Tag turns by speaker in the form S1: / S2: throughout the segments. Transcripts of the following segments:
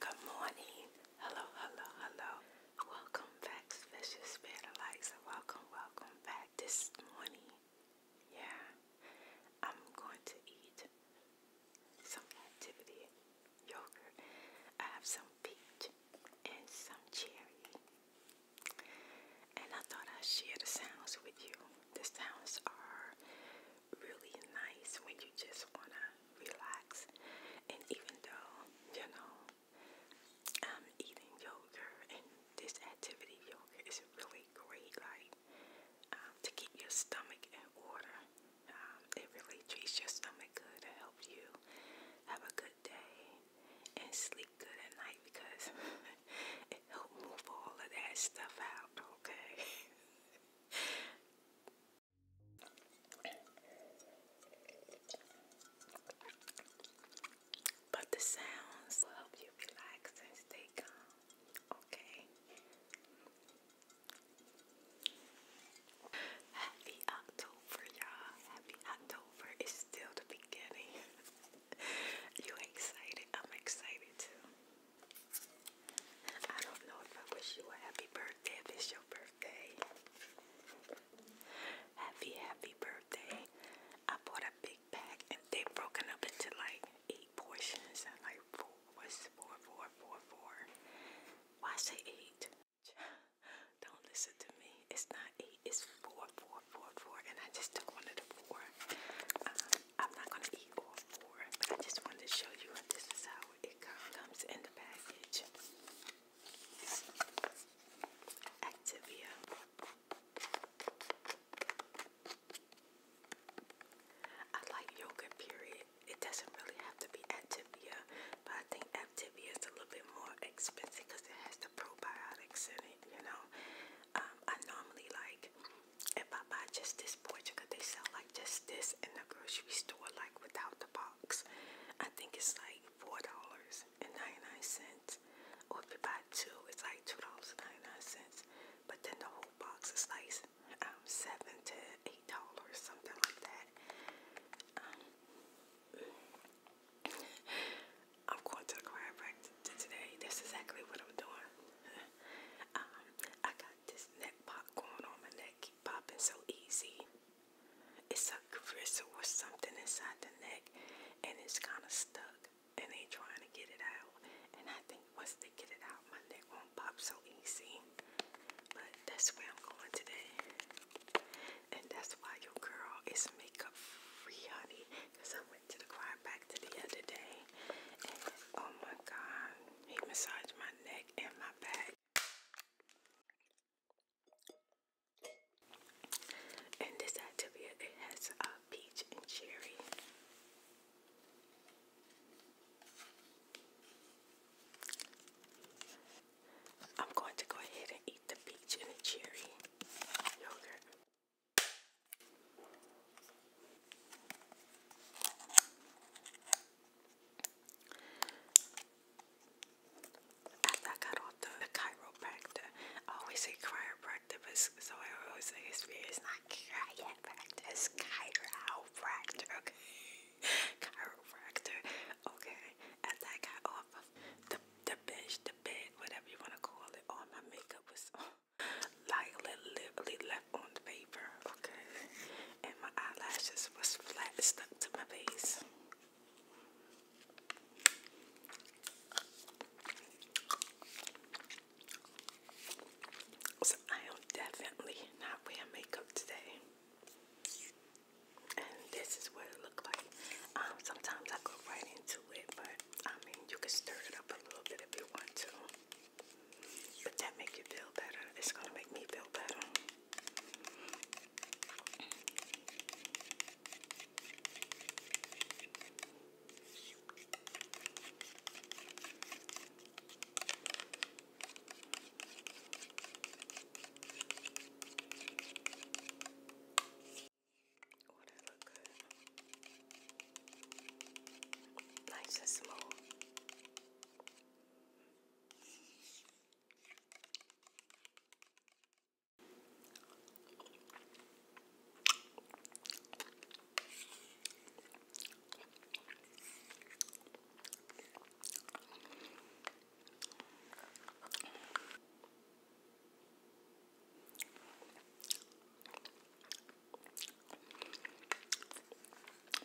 S1: Good morning. Hello, hello, hello. Welcome back, Vicious Spirit Lights. Welcome, welcome back this morning. Yeah, I'm going to eat some activity yogurt. I have some peach and some cherry. And I thought I'd share the sounds with you. The sounds are really nice when you just want to relax. And even though, you know, I'm eating yogurt and this activity yogurt is really great, like um, to keep your stomach in order. Um, it really treats your stomach good to you have a good day and sleep good at night because it helps move all of that stuff out, okay? But the sounds will help you relax and stay calm. Okay. Happy October, y'all. Happy October. It's still the beginning. you excited? I'm excited too. I don't know if I wish you a happy birthday if it's your birthday. Happy, happy birthday. I bought a big pack and they have broken up into like eight portions and like four was four, four, four, four. Why say eight? Don't listen to me. It's not eight, it's four, four, four, four. And I just took one of the four. Uh, I'm not gonna eat all four, I just wanted to show you this is how it comes in the package. Activia. I like yogurt period. It doesn't really have to be Activia, but I think Activia is a little bit more expensive because it has the probiotics in it, you know. Um, I normally like I buy just this portion, because they sell like just this in the grocery store, like without the box. I think it's like four dollars and ninety-nine cents. Or if you buy two, it's like two dollars and ninety-nine cents. But then the whole box is like um, seven to eight dollars, something like that. Um, I'm going to the chiropractor today. That's exactly what I'm doing. Um, I got this neck pop going on my neck keep popping so easy. It's a gristle or something inside the neck and it's kind of stuck and they trying to get it out. And I think once they get it out, my neck won't pop so easy. But that's where I'm going today. And that's why your girl is makeup free, honey. Because I went to the choir back to the other day oh my god, he massaged my neck and my back. And this Activia, it has a peach and cherry. I'm going to go ahead and eat the peach and cherry yogurt. I got off the, chiropractor, always say chiropractor, so I always say it's, it's not chiropractor, it's chiropractor, okay? chiropractor, okay? After I got off the, the bench, the bed, whatever you want to call it, all my makeup was lightly, liberally left on the paper, okay? And my eyelashes was flat stuck to my face. So I am definitely not wearing makeup today. And this is what it looked like. Um, sometimes I go right into but I mean, you can stir it up a little bit if you want to. But that make you feel better. It's gonna make me feel better. Oh, that look good. Nice and smooth.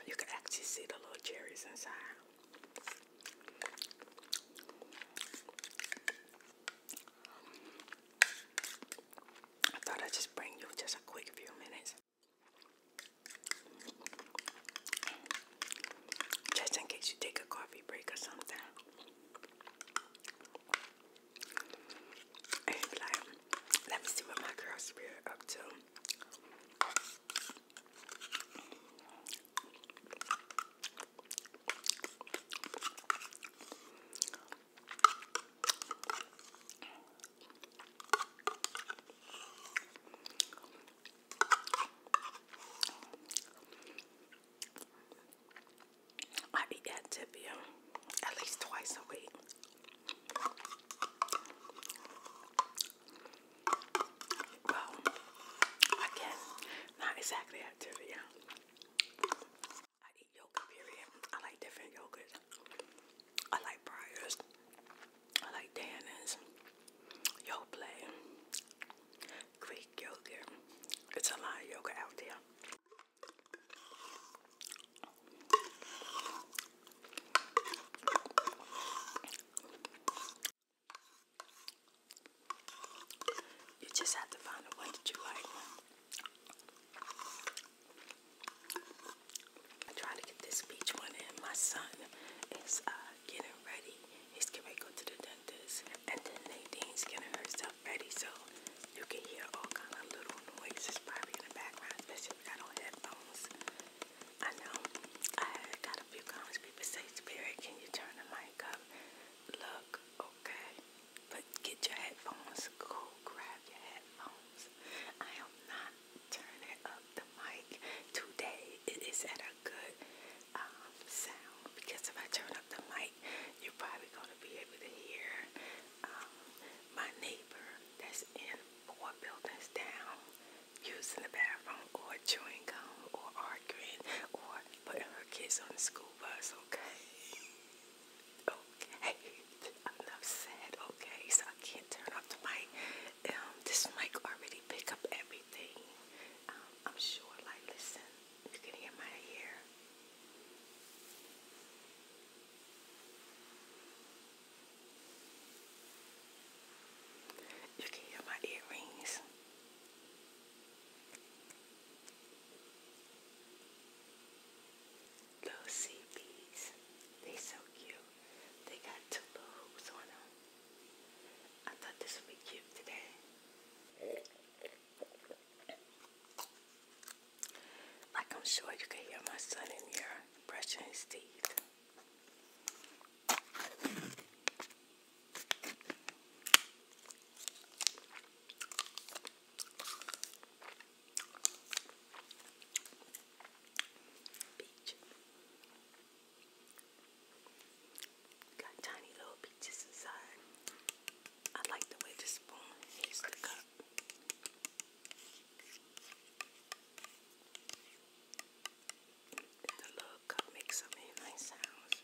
S1: You can actually see the little cherries inside. I thought I'd just bring you just a quick few minutes. Just in case you take a coffee break or something let me see what my girl are up to. I eat that at least twice a week. Well, I can not exactly at I eat yogurt period. I like different yogurts. I like Briars. I like Dannins. Yoplait. Greek yogurt. It's a lot of yogurt out there. You just have to find the one that you like. I try to get this peach one in. My son is uh, getting ready. He's gonna go to the dentist, and then Nadine's getting herself ready. So you can hear all kind of little noises probably in the background, especially if I I know I got a few comments. People say, "Spirit, can you turn the mic up?" Look, okay, but get your headphones. Go grab your headphones. I am not turning up the mic today. It is at a good um, sound because if I turn up the mic, you're probably going to be able to hear um, my neighbor that's in four buildings down using the bathroom or chewing gum or arguing or putting her kids on the school bus, okay? okay, enough said, okay? So I can't turn off the mic. Um, this mic already pick up everything. I'm sure, like, listen, you can hear my ear. You can hear my earrings. Little sea bees. They so cute. They got two little hoops on them. I thought this would be cute today. Like I'm sure you can hear my son in here brushing his teeth. Beach. Got tiny little peaches inside. I like the way the spoon hits the cup. The little cup makes so many nice sounds.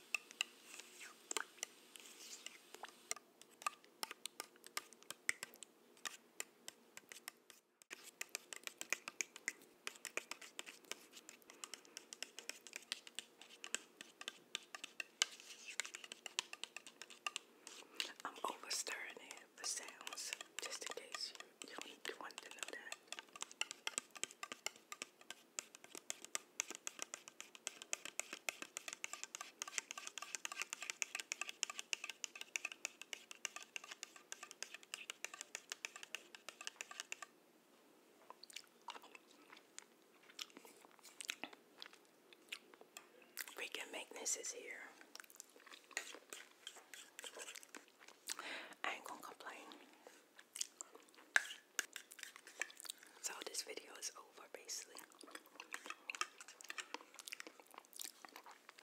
S1: I'm over stirring it for sounds, just in case you, you, you want to know that. Freaking Magnus is here. I ain't gonna complain. So this video is over basically.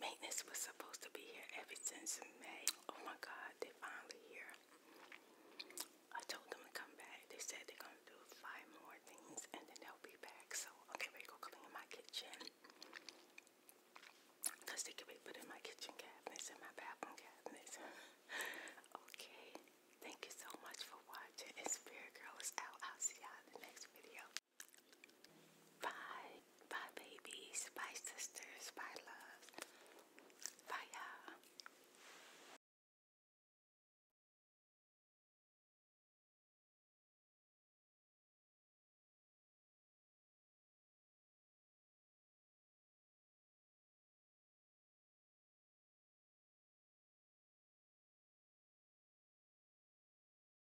S1: Maintenance was supposed to be here ever since May. Oh my God, they finally here. I told them to come back. They said they're gonna do five more things and then they'll be back. So okay, we go clean my kitchen. Cause they can be put in my kitchen cabinets and my bathroom cabinets. okay. Thank you so much for watching. And Spirit Girl is out. I'll see you in the next video. Bye. Bye, babies. Bye, sisters. Bye, love. Bye, y'all.